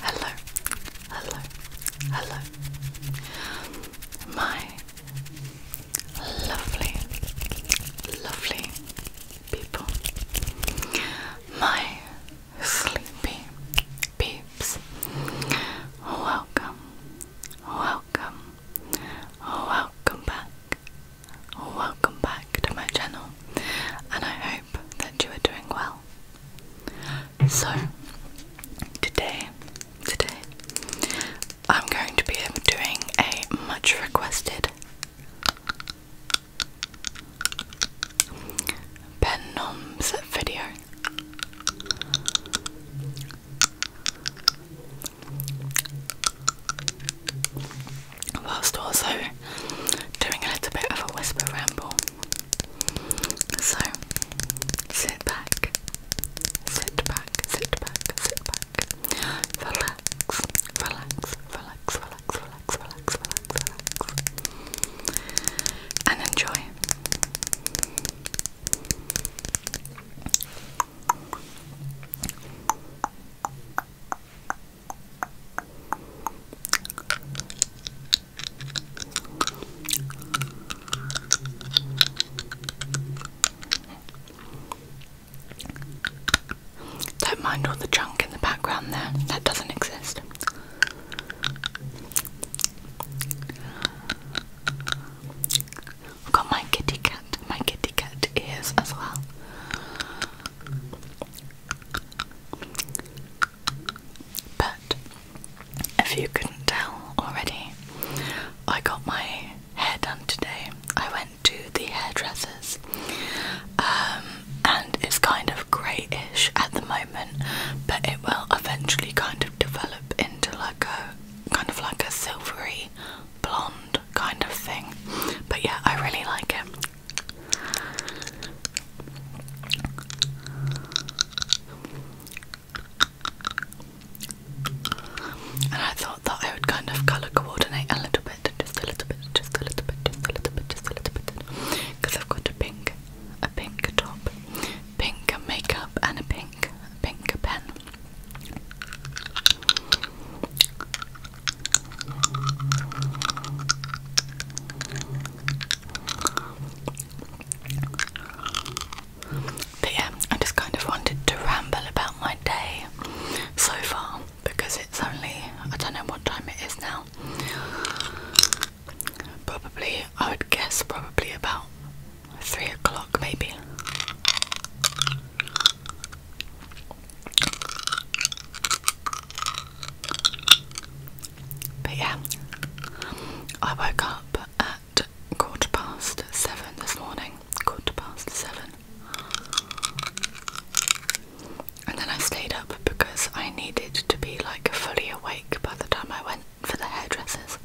Hello, hello, hello, hello. My lovely, lovely people. My sleepy peeps, welcome, welcome, welcome back, welcome back to my channel, and I hope that you are doing well. So, today, today, I'm going to be doing a much requested Ben Noms video. Whilst also doing a little bit of a whisper ramble. So sit back, Sit back, sit back, sit back. Relax, relax, relax, relax, relax, relax, relax, relax. And enjoy. Don't mind all the junk in the background there, that doesn't exist. I've got my kitty cat, my kitty cat ears as well. But if you couldn't tell already, I got my hair done today. I went to the hairdressers, um, and it's kind of greyish at the moment, but it will eventually kind of develop into like a kind of like a silvery blonde kind of thing. But yeah, I really like it. And I thought that I would kind of colour coordinate a little bit, just a little bit, just a little bit, just a little bit, just a little bit. Because I've got a pink, a pink top, pink a makeup, and a pink, pink a pen. But yeah, I just kind of wanted to ramble about my day so far because it's only, I don't know what time it is now. Probably, I would guess, probably about three o'clock maybe. But yeah, I woke up at quarter past seven this morning. Quarter past seven. And then I stayed up because I needed to be like fully awake by the time I went for the hairdressers.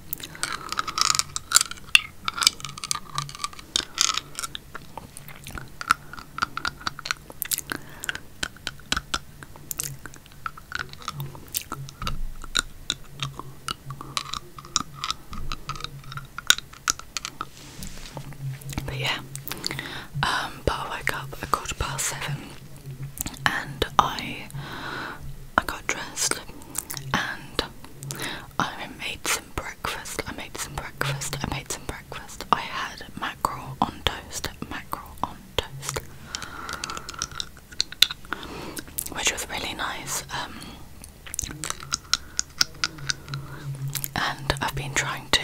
But yeah, um, but I woke up at quarter past seven, and I I got dressed, and I made some breakfast. I made some breakfast. I made some breakfast. I had mackerel on toast. Mackerel on toast which was really nice. Um, and I've been trying to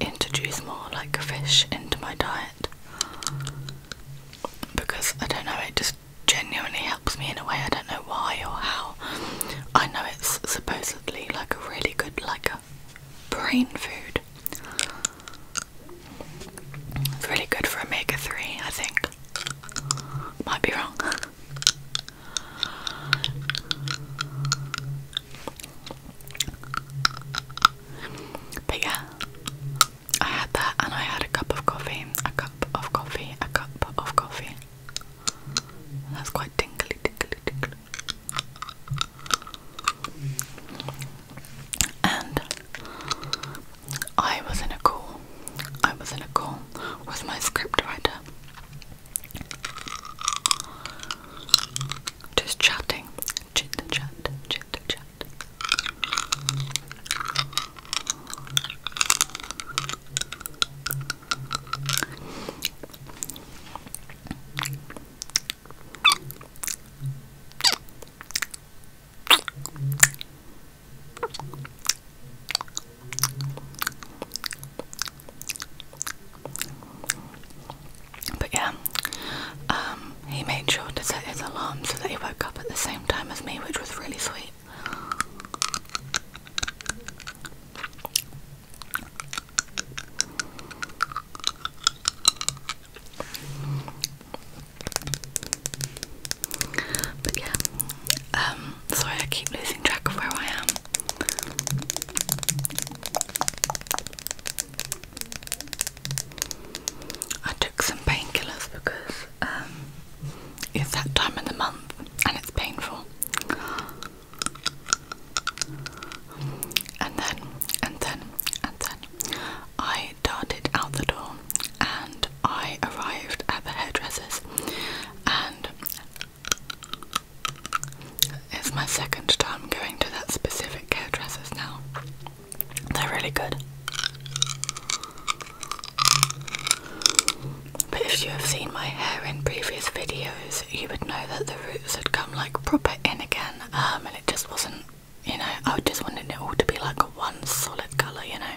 introduce more like fish into my diet because I don't know, it just genuinely helps me in a way. I don't know why or how. I know it's supposedly like a really good, like a brain food. It's really good for omega 3, I think. Might be wrong. But yeah, I had that and I had a cup of coffee, a cup of coffee, a cup of coffee. That's quite tingly, tingly, tingly. And I was in a call. I was in a call with my scriptwriter. Just chatting. Chit chat, chit chat. But yeah, um, he made sure to set his alarm so that he woke up at the same time as me, which was really sweet. But yeah, um, sorry I keep losing track of where I am. I took some painkillers because um, it's that time of the month and it's painful. And then, and then, and then, I I darted out the door and I arrived at the hairdresser's. And it's my second time going to that specific hairdresser's now. They're really good. But if you have seen my hair in previous videos, you would know that the roots had come like proper in again, um, and it just wasn't, you know, I just wanted it all to be like one solid colour, you know.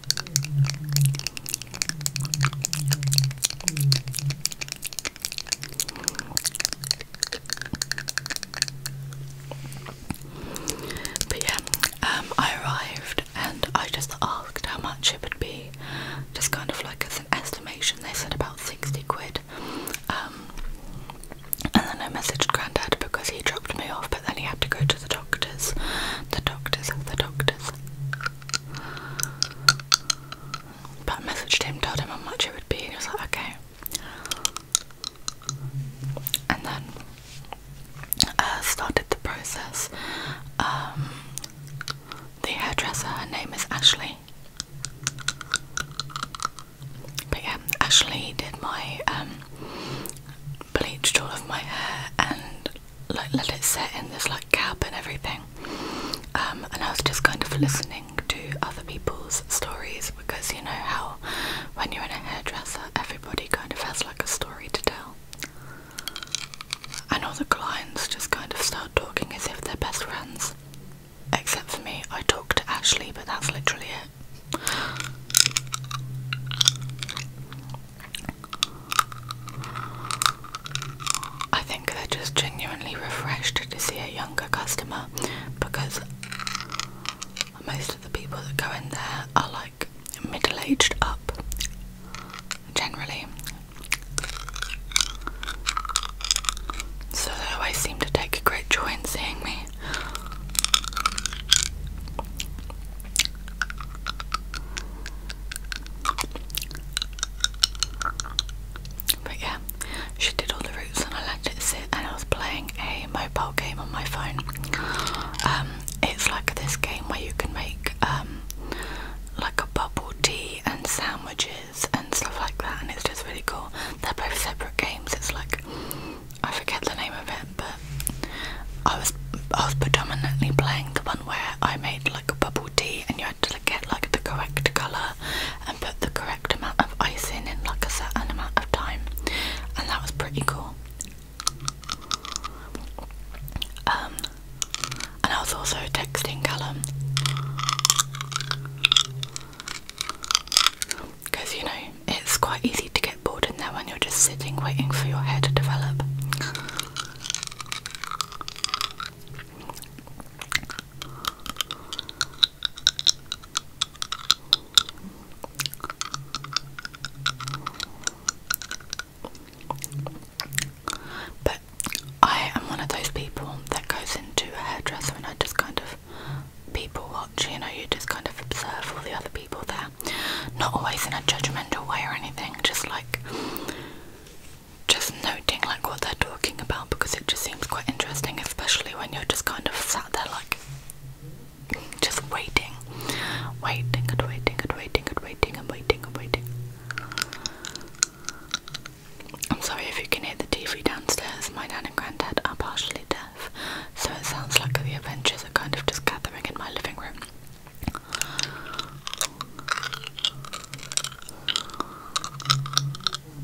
But yeah, um, I arrived and I just asked how much it would be, just kind of like as an estimation. They said about 60 quid. Um, and then I messaged Grandad because he dropped me off, but then he had to go to the doctor's. The doctor's, the doctor's. But I messaged him, told him how much it would be, and he was like, okay. And then uh, started the process. Um, the hairdresser, her name is Ashley. But yeah, Ashley did my um, bleached all of my hair and like let it set in this like cab and everything. Um, and I was just kind of listening to other people's stories because you know how when you're in a hairdresser, everybody kind of has like a story to tell. And all the clients just kind of start talking as if they're best friends. Except for me, I talk to Ashley, but that's literally it. I think they're just genuinely refreshed to see a younger customer because most of the people that go in there are like middle aged up generally. So they always seem to take great joy in seeing me. But yeah, she did all the roots and I let it sit and I was playing a mobile game on my phone. Um, it's like this game where you can make um, like a bubble tea and sandwiches and stuff like that and it's just really cool. They're both separate games, it's like I forget the name of it but I was I was predominantly playing the one where I made like a bubble tea and you had to get like the correct colour and put the correct amount of ice in in like a certain amount of time and that was pretty cool. Um, and I was also texting Callum because you know it's quite easy to get bored in there when you're just sitting waiting for your hair to develop. But I am one of those people that goes into a hairdresser and I just kind of people watch, you know, you just kind of observe all the other people there there. Not always in a judgmental way or anything, just like just noting like what they're talking about because it just seems quite interesting, especially when you're just kind of sat there like just waiting. Waiting and waiting and waiting and waiting and waiting and waiting. I'm sorry if you can hear the TV downstairs. My dad and granddad are partially deaf, so it sounds like the adventures are kind of just gathering in my living room.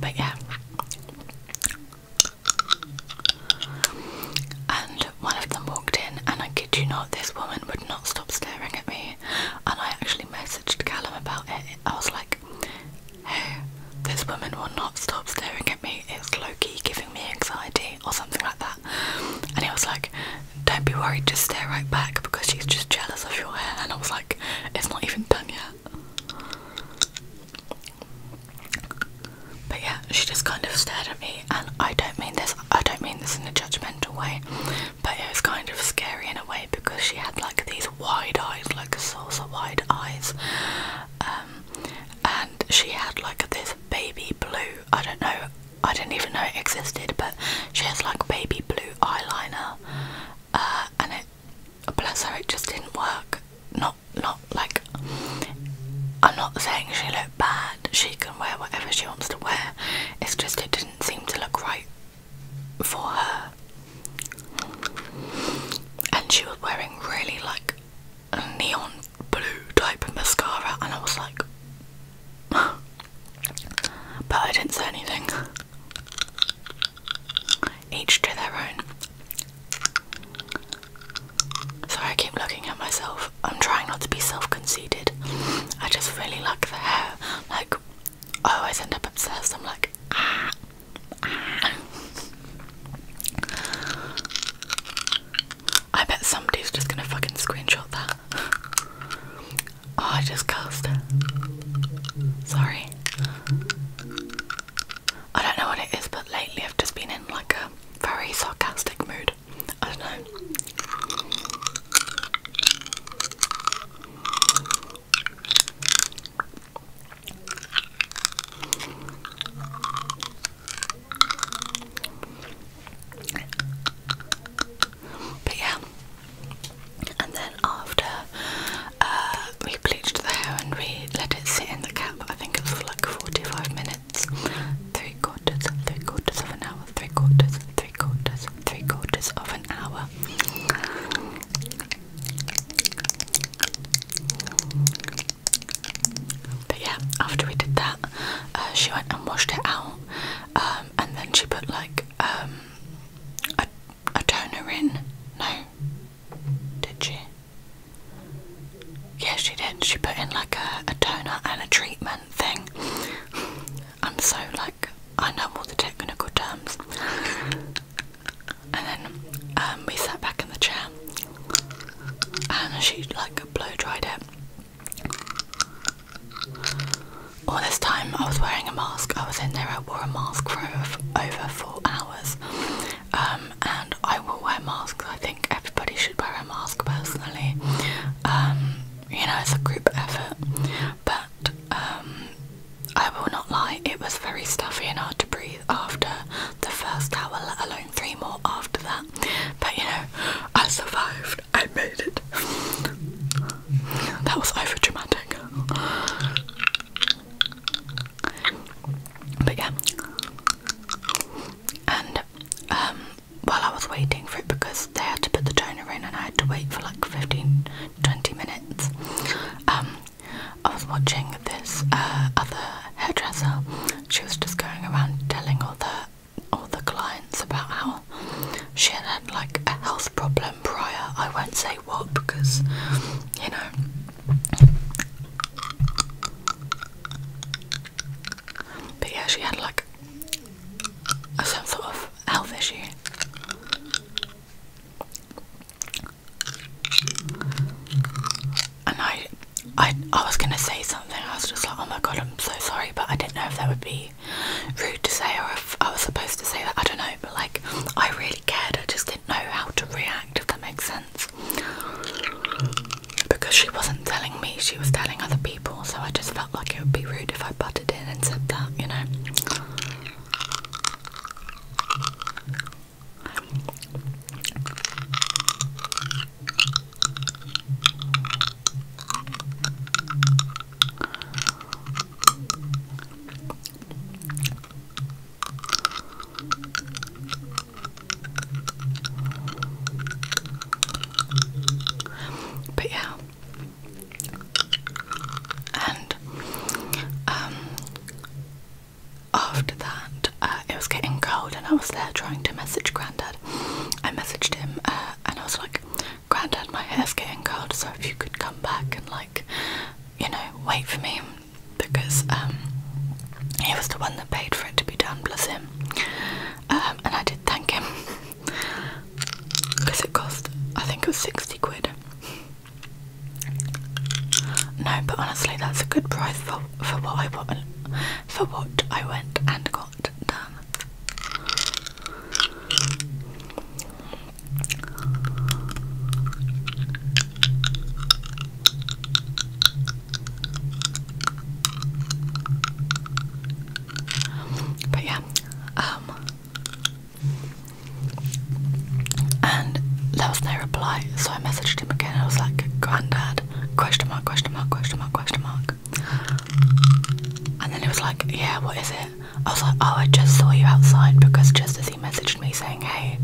But yeah. And one of them walked in, and I kid you not, this woman would not stop staring at me. And I actually messaged Callum about it. I was like, hey, this woman will not stop staring at me. It's Loki giving me anxiety, or something like that. And he was like, don't be worried, just stare right back because she's just jealous of your hair. And I was like, it's not even done yet. But yeah, she just kind of stared at me, and I don't mean this, I don't mean this in a judgmental way, but it was kind of scary in a way because she had like these wide eyes, like saucer wide eyes. Um, and she had like this baby blue, I don't know, I didn't even know it existed, but she has like baby blue eyeliner, uh, and it, bless her, it just didn't work. Not, not like, I'm not saying she looked bad, she can wear whatever she wants to wear, it's just it didn't seem to look right for her. And she was wearing really like neon blue type of mascara and I was like but I didn't say anything. Each to their own. Sorry, I keep looking at myself. I'm trying not to be self-conceited. I just really like the hair. Like, I always end up obsessed. I'm like, ah, ah. I bet somebody's just gonna fucking screenshot that. oh, I just cursed. Sorry. I don't know what it is, but lately I've just been in like a very sarcastic mood. I don't know. But yeah, and then after uh, we bleached the hair and we let it sit in the cap, I think it was for like 45 minutes, three quarters, three quarters of an hour, three quarters, three quarters, three quarters of an hour. But yeah, after we did that, uh, she went and washed it out, um, and then she put like um, a, a toner in. No, did she? Yeah, she did. She put in like a, a toner and a treatment thing. I'm so like I know all the technical terms. And then um, we sat back in the chair, and she like blow dried it. All this time I was wearing a mask. I was in there, I wore a mask for over four hours. Um, and I will wear masks. I think everybody should wear a mask personally. Um, you know, it's a group effort. But um, I will not lie, it was very stuffy and hard to breathe after the first hour, let alone three more after that. But you know, I survived. I made it. that was over dramatic. But yeah. And um, while I was waiting for it because they had to put the toner in and I had to wait for like 15 20 minutes. Um, I was watching this uh, other hairdresser. She was just going around telling all the all the clients about how she had had like a health problem prior. I won't say what because you know. But yeah, she had like some sort of health issue and I, I, I was gonna say something. I was just like, oh my god, I'm so sorry, but I didn't know if that would be rude to say or if I was supposed to say that. I don't know, but like, I really cared. I just didn't know how to react. If that makes sense, because she wasn't telling me, she was telling other people. So I just felt like it would be rude if I butted in and said that, you know. But yeah, and um, after that, uh, it was getting cold and I was there trying to message Grandad. I messaged him uh, and I was like, Grandad, my hair's getting cold, so if you could come back and like, you know, wait for me because um, he was the one that paid for it to be done, bless him. Um, and I did thank him because it cost, I think it was 60 quid. No, but honestly, that's a good price for for what I want for what I went and got done. But yeah, um, and there was no reply, so I messaged him again. I was like, Granddad, Question mark, question mark, question mark, question mark. And then it was like, yeah, what is it? I was like, oh, I just saw you outside because just as he messaged me saying, hey,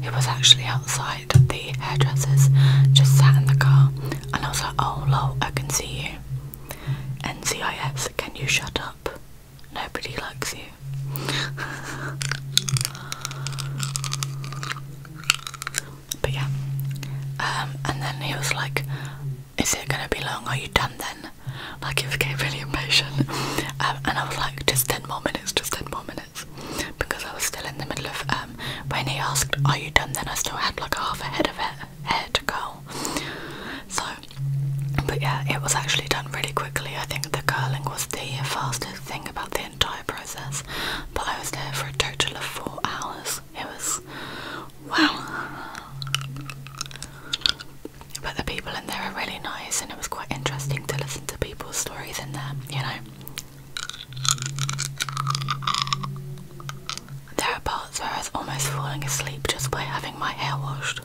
he was actually outside the hairdressers, just sat in the car. And I was like, oh, no, I can see you. NCIS, can you shut up? Nobody likes you. But yeah. Um, and then he was like, Is it gonna be long? Are you done then? Like, it became really impatient. Um, and I was like, Just 10 more minutes, just 10 more minutes. Because I was still in the middle of, um, when he asked, Are you done then? I still had like half a head of hair, hair to curl. So, but yeah, it was actually done really quickly. I think the curling was the fastest thing about the entire process, but I was there for a total of four hours. It was wow. But the people in there are really nice, and it was quite interesting to listen to people's stories in there, you know. There are parts where I was almost falling asleep just by having my hair washed.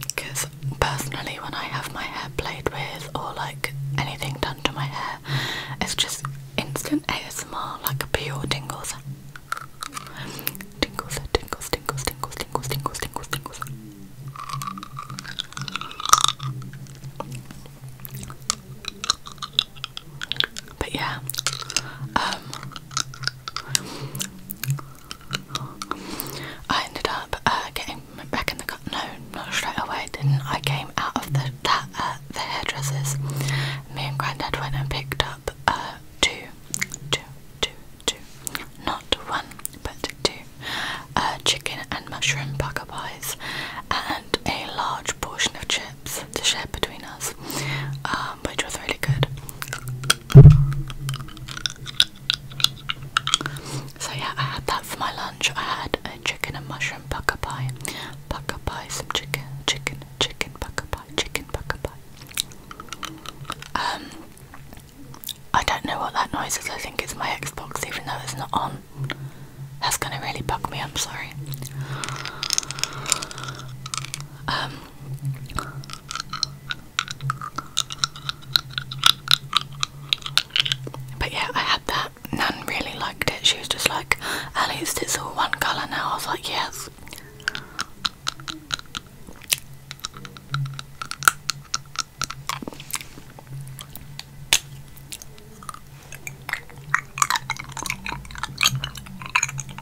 Because personally, when I have my hair played with or like anything done to my hair, it's just instant ASMR, like pure tingles. Tingles, tingles, tingles, tingles, tingles, tingles, tingles, tingles. But yeah, um, I ended up uh, getting back in the cut. No, not straight away, didn't I? Came out of the uh, the hairdressers. Me and Granddad went and picked up uh, two, two, two, two, not one but two, uh, chicken and mushroom pucker pies, and a large portion of chips to share between us, um, which was really good. So yeah, I had that for my lunch. I had a chicken and mushroom pucker pie, pucker pie, some chicken, chicken, chicken pucker pie, chicken pucker pie. Um, I don't know what that noise is. I think it's my Xbox, even though it's not on. That's gonna really bug me. I'm sorry. Um, but yeah, I had that. None really liked it. She was just like, at least it's all one colour now. I was like, yes.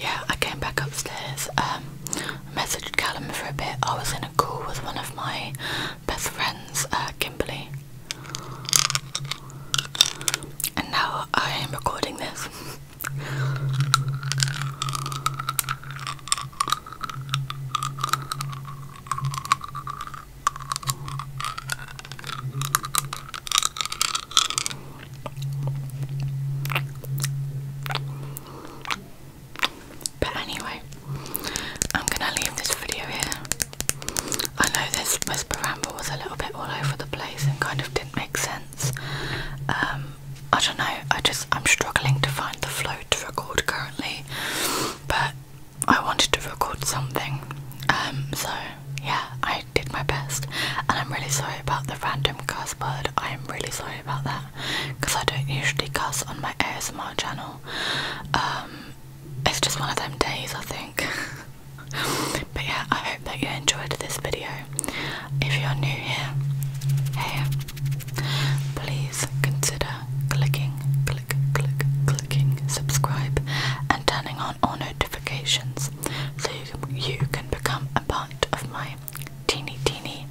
yeah, I came back upstairs, um, messaged Callum for a bit. I was in a call with one of my best friends, uh, Kimberly. And now I am recording this. But anyway, I'm gonna leave this video here. I know this whisper ramble was a little bit all over the place and kind of didn't make sense. Um, I don't know. I just I'm struggling to find the flow to record currently, but I wanted to record something. Um, so yeah, I did my best, and I'm really sorry about the random cuss word. I am really sorry about that because I don't usually cuss on my ASMR channel. Um, it's just one of them days, I think. but yeah, I hope that you enjoyed this video. If you're new here, hey, please consider clicking click, click, clicking subscribe and turning on all notifications so you can become a part of my teeny teeny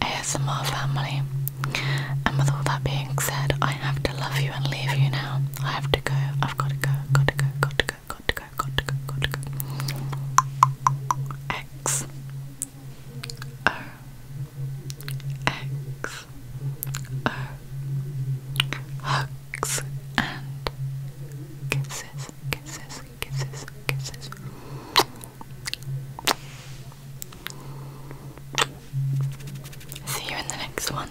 ASMR family. And with all that being said, I have to love you and leave you now. I have to go. I've got to go. Got to go. Got to go. Got to go. Got to go. Got to go. X O X O hugs and kisses, kisses, kisses, kisses. See you in the next one.